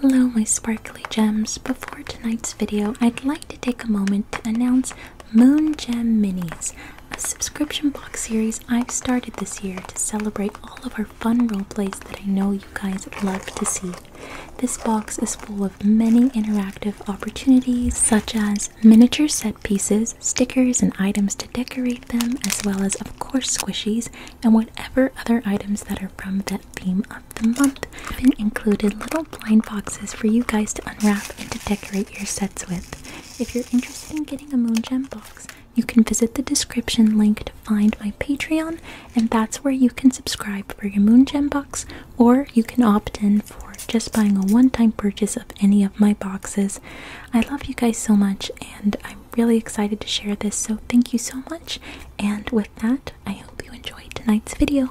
Hello, my sparkly gems. Before tonight's video, I'd like to take a moment to announce Moon Gem Minis, a subscription box series I've started this year to celebrate all of our fun roleplays that I know you guys love to see. This box is full of many interactive opportunities, such as miniature set pieces, stickers, and items to decorate them, as well as, of course, squishies and whatever other items that are from that theme the month i have been included little blind boxes for you guys to unwrap and to decorate your sets with. If you're interested in getting a Moon Gem box, you can visit the description link to find my Patreon, and that's where you can subscribe for your Moon Gem box, or you can opt in for just buying a one time purchase of any of my boxes. I love you guys so much, and I'm really excited to share this, so thank you so much. And with that, I hope you enjoyed tonight's video.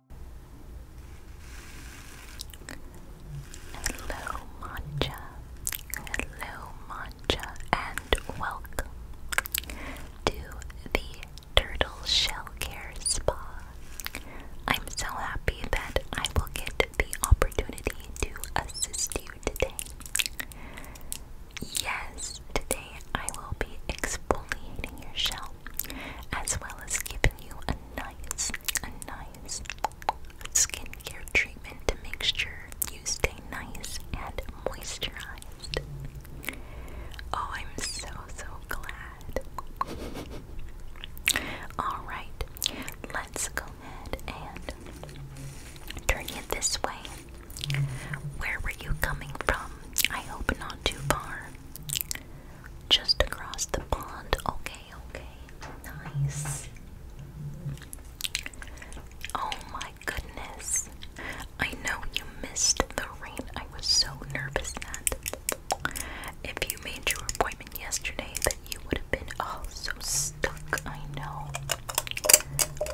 Hello, Matcha. Hello, Matcha, and welcome to the Turtle Shell Care Spa. I'm so happy that I will get the opportunity to assist you today. Yes, today I will be exfoliating your shell as well as giving you a nice a nice skincare treatment to make sure you stay nice and moisturized. Oh, I'm so, so glad. Alright, let's go ahead and turn it this way. Where were you coming from? I hope not too far. Just across the pond, okay okay. Nice. Oh my goodness. I know you missed the rain. I was so nervous that if you made your appointment yesterday that you would have been all stuck. I know.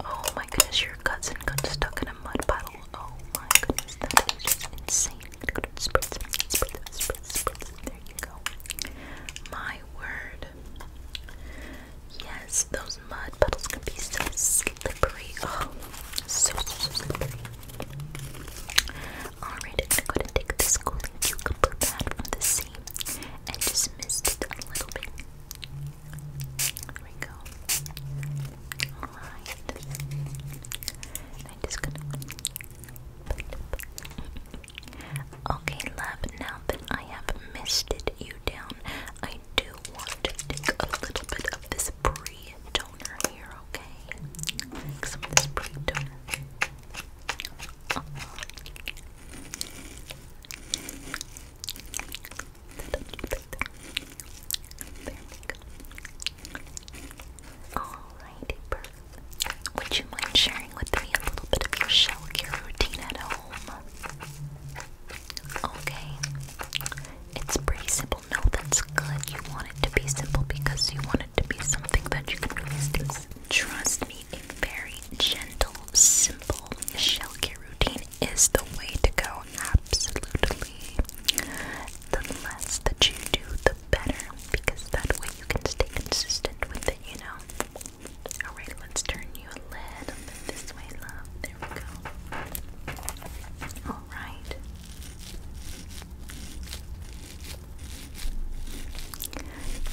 Oh my goodness, your cousin got stuck in a mud puddle. Oh my goodness, that is just insane. My word. Yes, those mud puddles can be slippery. Oh, so, slippery. Alright, I'm gonna take this cooling cucumber pad from the sea and just mist it a little bit. There we go. Alright. I'm just gonna. Okay, love, now that I have misted you down, I do want to take a little bit of this pre toner here, okay? Take some of this pre toner. Uh-huh. Alrighty, perfect. Would you mind sharing with me a little bit of your shell care routine at home? Okay. It's pretty simple. No, that's good. You want it to be simple because you want it to be something that you can always do. Trust me, a very gentle, simple shell care routine is the way to go. Absolutely. The less that you do, the better because that way you can stay consistent with it, you know? Alright, let's turn you a this way, love. There we go. Alright.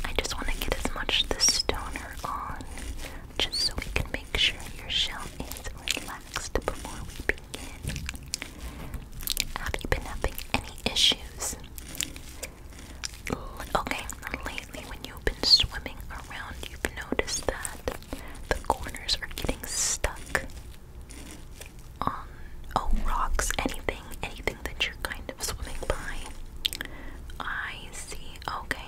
I just want to get as much of the stoner on just so we can make sure your shell is relaxed before we begin. Have you been having any issues? Okay, lately when you've been swimming around, you've noticed that the corners are getting stuck on oh rocks, anything, anything that you're kind of swimming by. I see. Okay,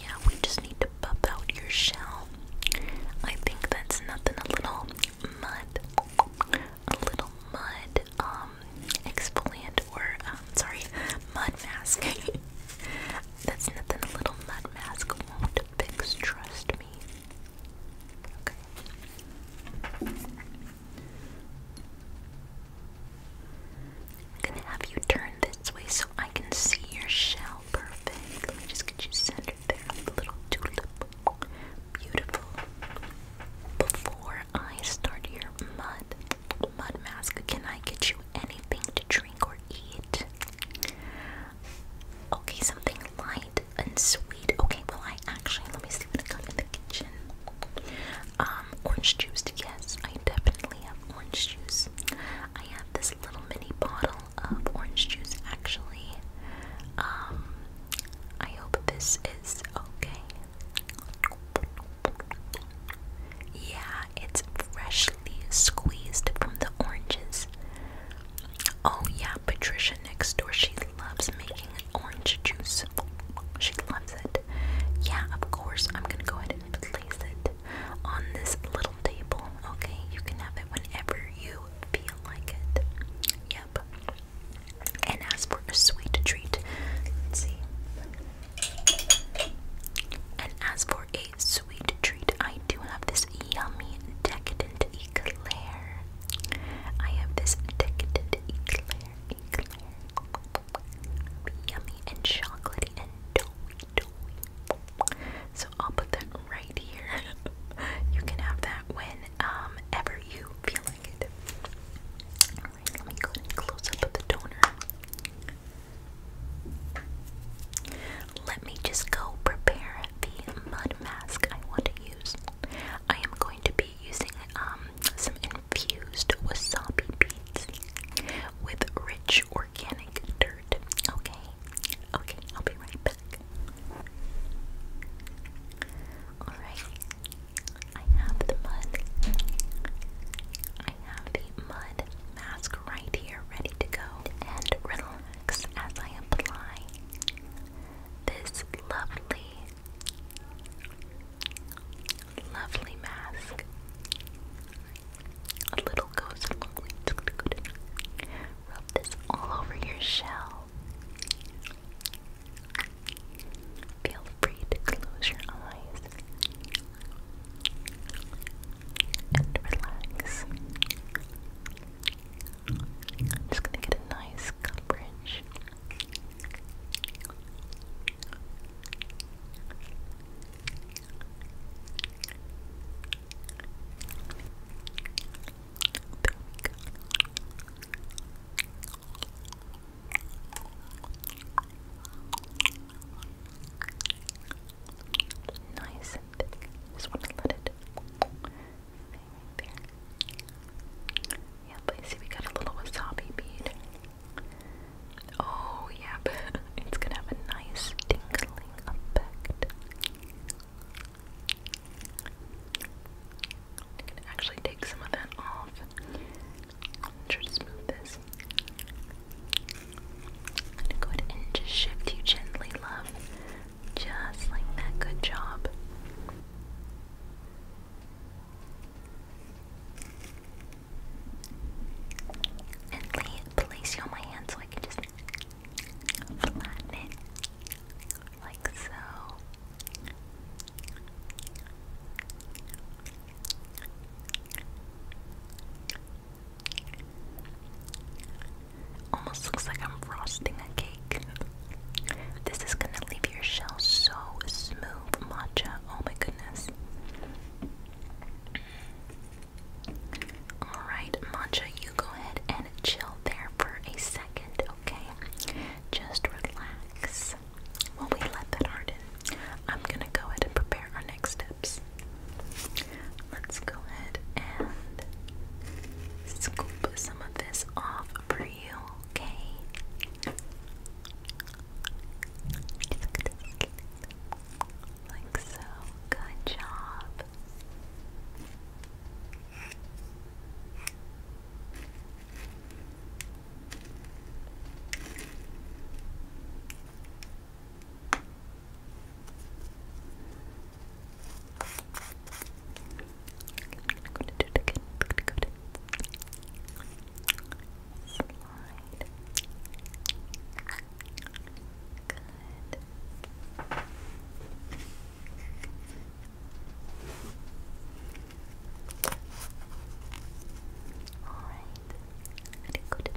yeah, we just need to buff out your shell. I think that's nothing. A little mud a little mud um exfoliant or um, sorry mud mask. That's nothing a little mud mask won't fix, trust me. Okay. I'm gonna have you turn this way so I can see your shell perfect. just get you centered there. Little tulip. Beautiful. Before I start your mud mud mask. Can I get you anything to drink or eat? Okay, something light and sweet. Okay, well I actually let me see what I can got in the kitchen. Um, orange juice. Yes, I definitely have orange juice. I have this little mini bottle of orange juice actually. Um, I hope this is okay. Yeah, it's freshly squeezed from the oranges. Oh, yeah, Patricia next door, she loves making orange juice. She loves it. Yeah, of course, I'm gonna go ahead and place it on this little table, okay? You can have it whenever you feel like it. Yep and ask for a sweet treat. see. And as for a sweet treat, I do have this yummy decadent eclair. I have this decadent eclair, eclair. Yummy and chocolatey and doughy, doughy. So I'll put that right here. you can have that whenever you feel let me go ahead and the toner. Let me just go prepare the mud mask I want to use. I am going to be using um some infused wasabi beads with rich organic dirt. Okay, okay, I'll be right back. Alright. I have the mud. I have the mud mask right here ready to go. And relax as I apply this lovely, lovely mask. A little goes a long way. Rub this all over your shell. Feel free to close your eyes and relax. just going to get a nice coverage. Nice Just want to let it hang right there. see, we got a little wasabi bead. Oh, yeah, it's gonna have a nice tingling effect. I can actually take some of that off. Try smooth this. I'm gonna go ahead and just shift you gently, love. Just like that. Good job. And place you on my hand so I can just flatten it like so. Almost looks like I'm frosting a cake. This is gonna leave your shell so smooth, matcha. Oh my goodness. Alright, matcha, you go ahead and chill there for a second, okay? Just relax. While we let that harden, I'm gonna go ahead and prepare our next steps. Let's go ahead and scoop some of this off for you, okay? Like so. Good job. I'm going to do it again. I'm going to go to slide. Good. Alright, very good.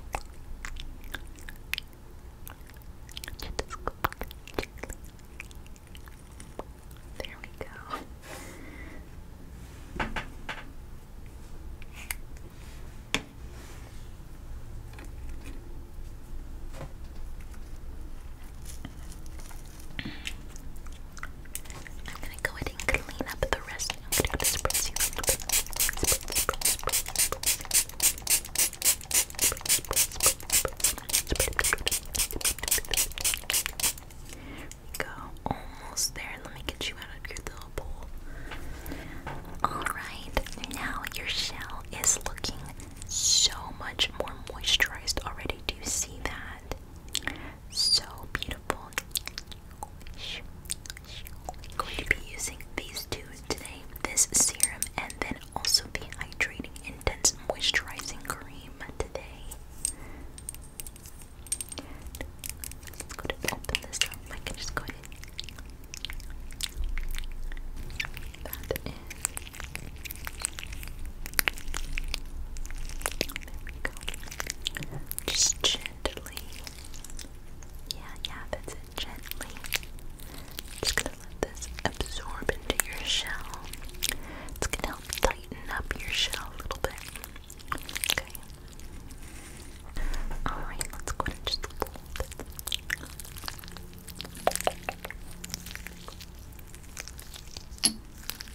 Just scoop gently. There we go. I'm gonna go ahead and clean up the rest. I'm go almost there. Let me get you out of your little bowl. Alright, now your shell is looking so much more moisturized already. Do you see that? so beautiful. going to be using these two today this serum and then also the hydrating intense moisturizing cream today. Let's go to open this up. I can just go ahead. Just gently. Yeah, yeah, that's it. Gently. Just gonna let this absorb into your shell. It's gonna help tighten up your shell a little bit. Okay. Alright, let's go ahead and just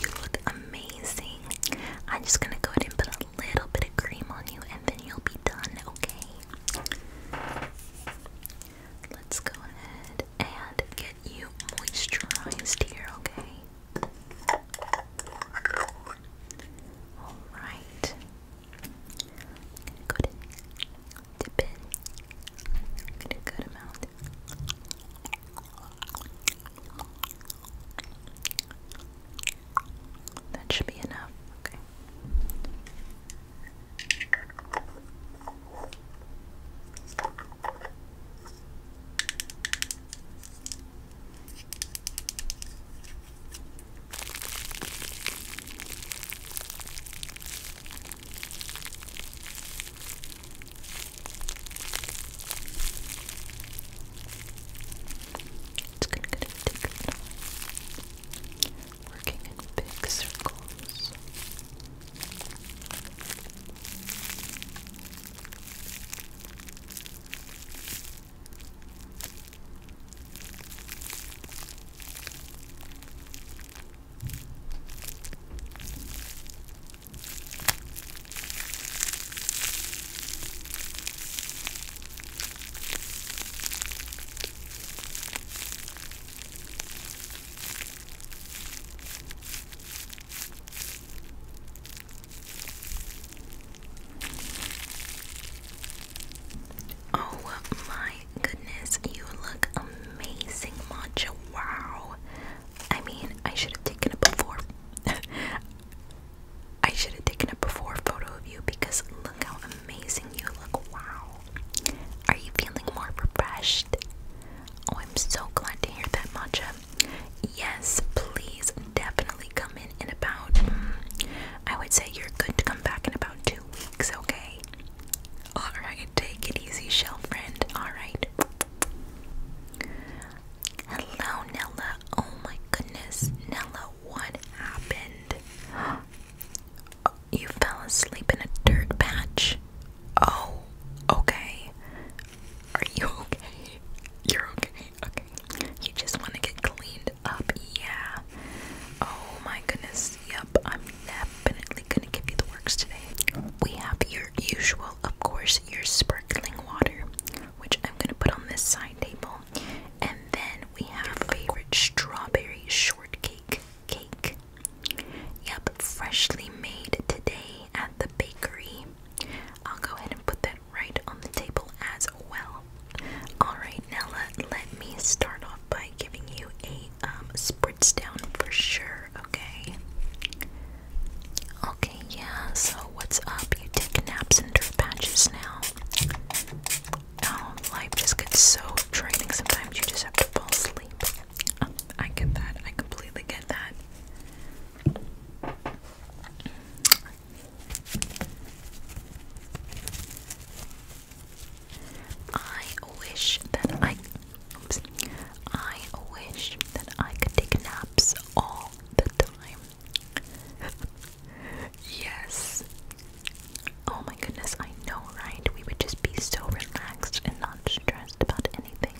You look amazing. I'm just gonna go ahead and put a little bit of cream on you and then you'll be done, okay? Let's go ahead and get you moisturized here, okay? Alright. go ahead dip in. I'm gonna that should be enough. Okay. It's gonna get a ticket. Working in big circles. Oh my goodness, you look amazing, Matcha. Wow. I mean, I should have taken a before. I should have taken a before photo of you because look how amazing you look. Wow. Are you feeling more refreshed? Oh, I'm so glad to hear that, Matcha. Yes, please definitely come in in about. Mm, I would say you're good to come back in about two weeks, okay? Alright, take it easy, shell friend. Alright. Hello, Nella. Oh my goodness, Nella, what happened? You fell asleep in a dirt patch. Oh, okay. Are you okay? You're okay. Okay. You just want to get cleaned up. Yeah. Oh my goodness. Yep. I'm definitely going to give you the works today. We have your usual of course, your sparkling water, which I'm gonna put on this side table. And then we have favorite strawberry shortcake cake. Yep, freshly made today at the bakery. I'll go ahead and put that right on the table as well. Alright, Nella, let me start off by giving you a um, spritz down for sure, okay? Okay, yeah, so what's up? You take naps and do patches now. life just gets so draining sometimes, you just have to fall asleep. I get that, I completely get that. I wish that I I wish that I could take naps all the time. yes. Oh my goodness, I know, right? We would just be so relaxed and not stressed about anything.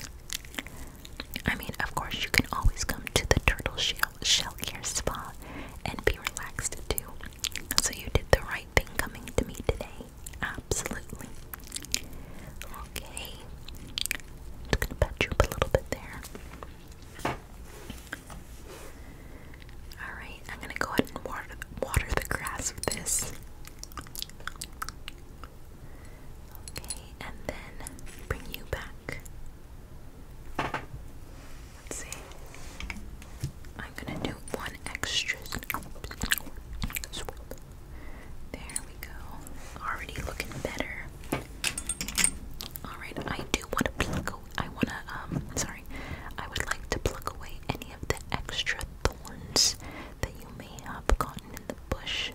I mean, of course, you can always come to the Turtle Shell, shell Care Spa and be relaxed too. So, you did the right thing coming to me today. Absolutely. Okay. Just gonna pet a little bit there. Alright, I'm gonna go ahead and water water the grass with this. Okay, and then bring you back. Let's see. I'm gonna do one extra there we go. Already looking better. Alright, I do want to pluck I want to, um, sorry. I would like to pluck away any of the extra thorns that you may have gotten in the bush.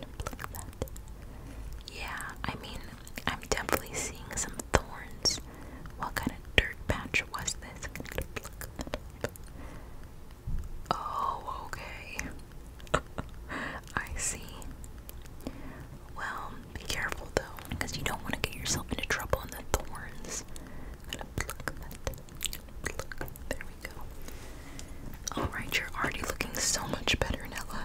am Yeah, I mean, I'm definitely seeing some thorns. What kind of dirt patch was this? Oh, okay. I see. Well, be careful though, because you don't want to get yourself into trouble in the thorns. There we go. Alright, you're already looking so much better, Nella.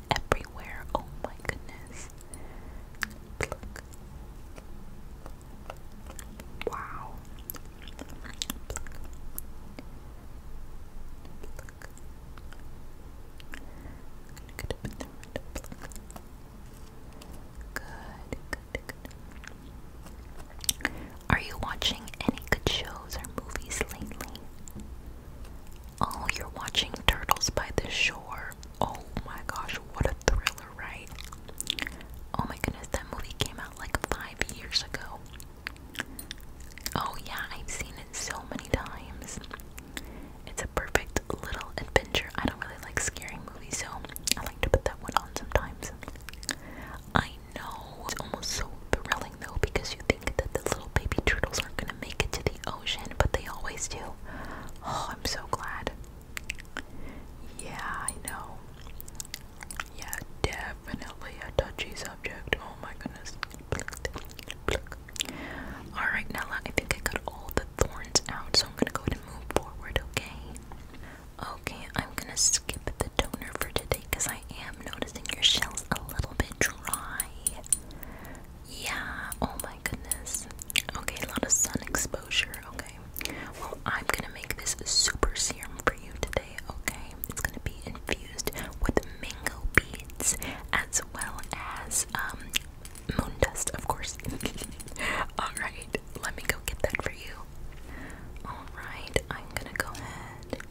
everywhere. Oh my goodness. Wow. Are you watching any good shows or movies lately? Oh, you're watching Turtles by the Shore. Oh my gosh, what a thriller, right? Oh my goodness, that movie came out like five years ago. Oh yeah, I've seen it so many times. It's a perfect little adventure. I don't really like scary movies, so I like to put that one on sometimes. I know it's almost so thrilling though because you think that the little baby turtles aren't gonna make it to the ocean, but they always do. Oh, I'm so glad. Yeah, I know. Yeah, definitely a touchy subject. Oh my goodness. Alright, Nella, I think I got all the thorns out, so I'm gonna go ahead move forward, okay? Okay, I'm gonna skip the toner for today because I am noticing your shell's a little bit dry. Yeah, oh my goodness. Okay, a lot of sun exposure, okay. Well, I'm gonna make this super serum for you today, okay? It's gonna be infused with mango beads as well as um moon dust, of course. Alright, let me go get that for you. Alright, I'm gonna go ahead.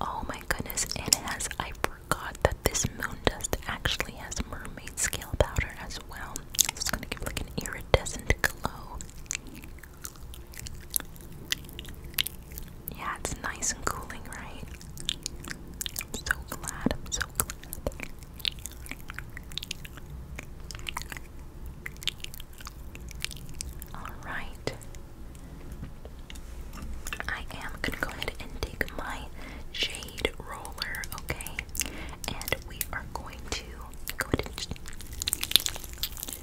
Oh my goodness, and as I forgot that this moon dust actually has mermaid scale powder as well. it's gonna give like an iridescent glow. Yeah, it's nice and cooling, right? I'm so glad, I'm so glad. Alright, I am gonna go ahead and take my shade roller, okay? And we are going to go ahead and just make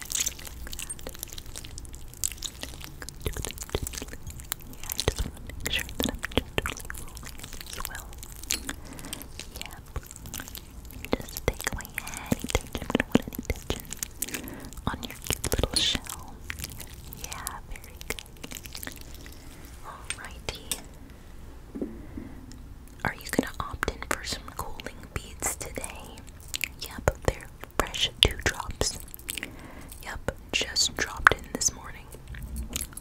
sure that I'm gently well. Yep. Just take away any tension. We don't want any tension on your cute little shell. Yeah, very good. Alrighty. Are you gonna opt in for some cooling beads today? Yep, they're fresh dewdrops. Yep, just dropped in this morning.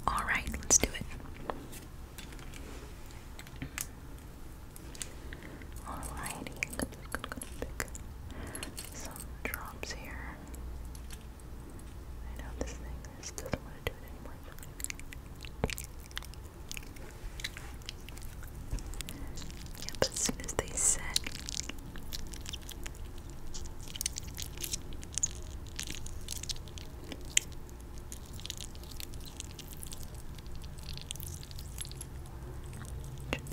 Alright, let's do it. Alrighty, I'm just gonna, pick some drops here. I know this thing this doesn't want to do it anymore. as soon as they set should pick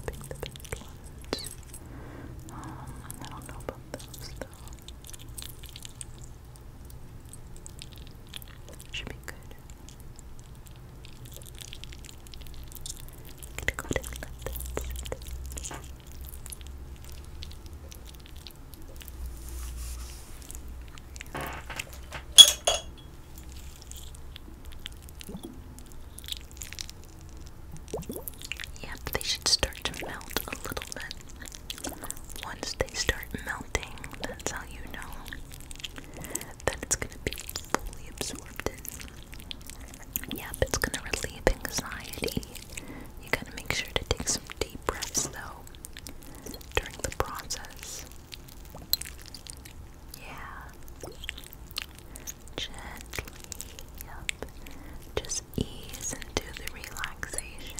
the best ones. I don't know about those though. Should be good. I'm gonna Yep, they should start to melt a little bit. Once they start melting, that's how you know that it's going to be fully absorbed in. Yep, it's going to relieve anxiety. You got to make sure to take some deep breaths though during the process. Yeah. Gently up. Just ease into the relaxation.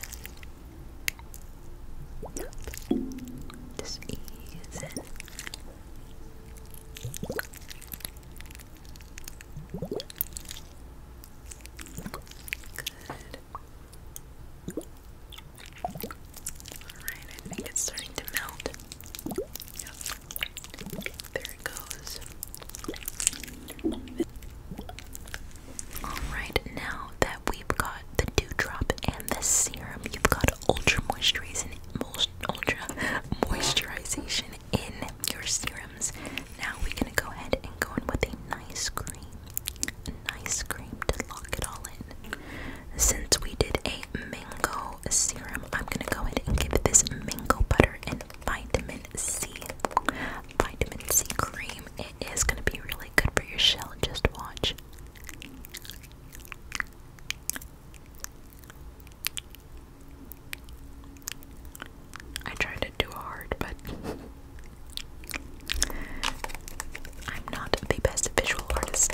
Up. Just ease in. Good. Alright, I think it's starting to melt. There it goes. Alright, now that we've got the dewdrop and the serum, you've got ultra moisturizing ultra moisturization in your serums. Now we're gonna go ahead and go in with a nice cream. A nice cream to lock it all in. Since we did a mango serum, I'm gonna go ahead and give this mango butter and vitamin C. Vitamin C cream. It is gonna be really good for your shell. Just watch. I tried to do hard, but I'm not the best visual artist.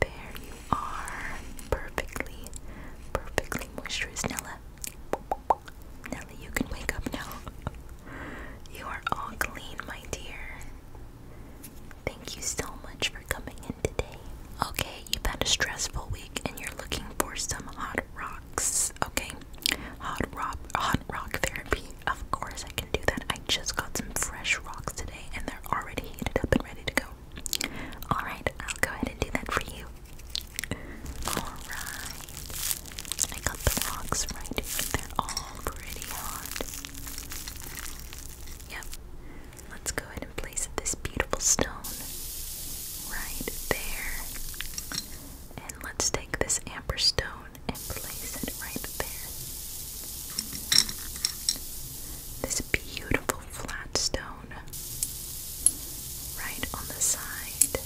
There you are. Perfectly, perfectly moisturized, Nella. Nella, you can wake up now. You are all clean, my dear. Thank you so much for coming in today. Okay, you've had a stressful week and you're looking for some hot rocks. Okay, hot rock, hot rock therapy. Of course, I can do that. I just got some fresh rocks today, and they're already heated up and ready to go. Alright, I'll go ahead and do that for you. Alright. I got the rocks right here. all pretty hot. Yep. Let's go ahead and place this beautiful stone right there. And let's take this amber stone and place it right there. This beautiful flat stone right on the side.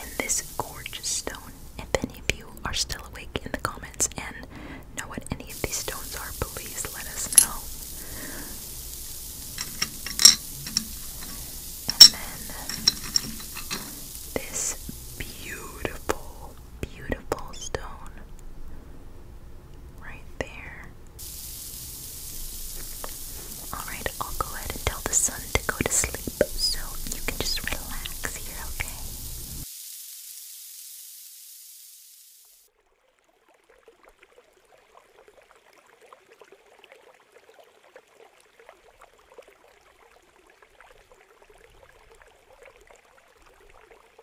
And this gorgeous stone. If any of you are still awake in the comments and know what any of these stones are, please let us know. And then this beautiful, beautiful stone right there. Alright, I'll go ahead and tell the sun to go to sleep so you can just relax here, okay?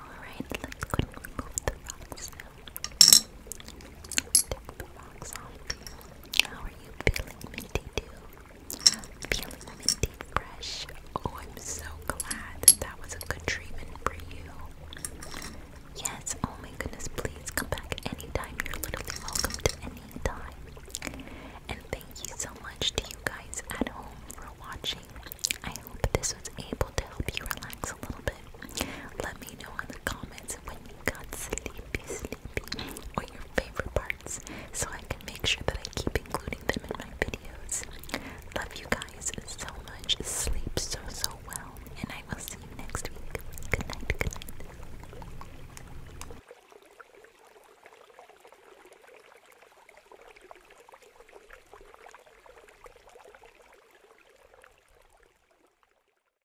Alright, let's go and remove the rocks now. Take the box off. How are you feeling, Minty? Too feeling minty fresh. Oh, I'm so glad that that was a good treatment for you. Yes. Oh my goodness. Please come back anytime. You're literally welcome to any time. And thank you so much to you guys at home for watching. I hope this was able to help you relax a little bit. Let me know in the comments when you got sleepy, sleepy, or your favorite parts so I can make sure that I keep including them in my videos. Love you guys so much. Sleep so, so well. And I will see you next week. Good night. Good night.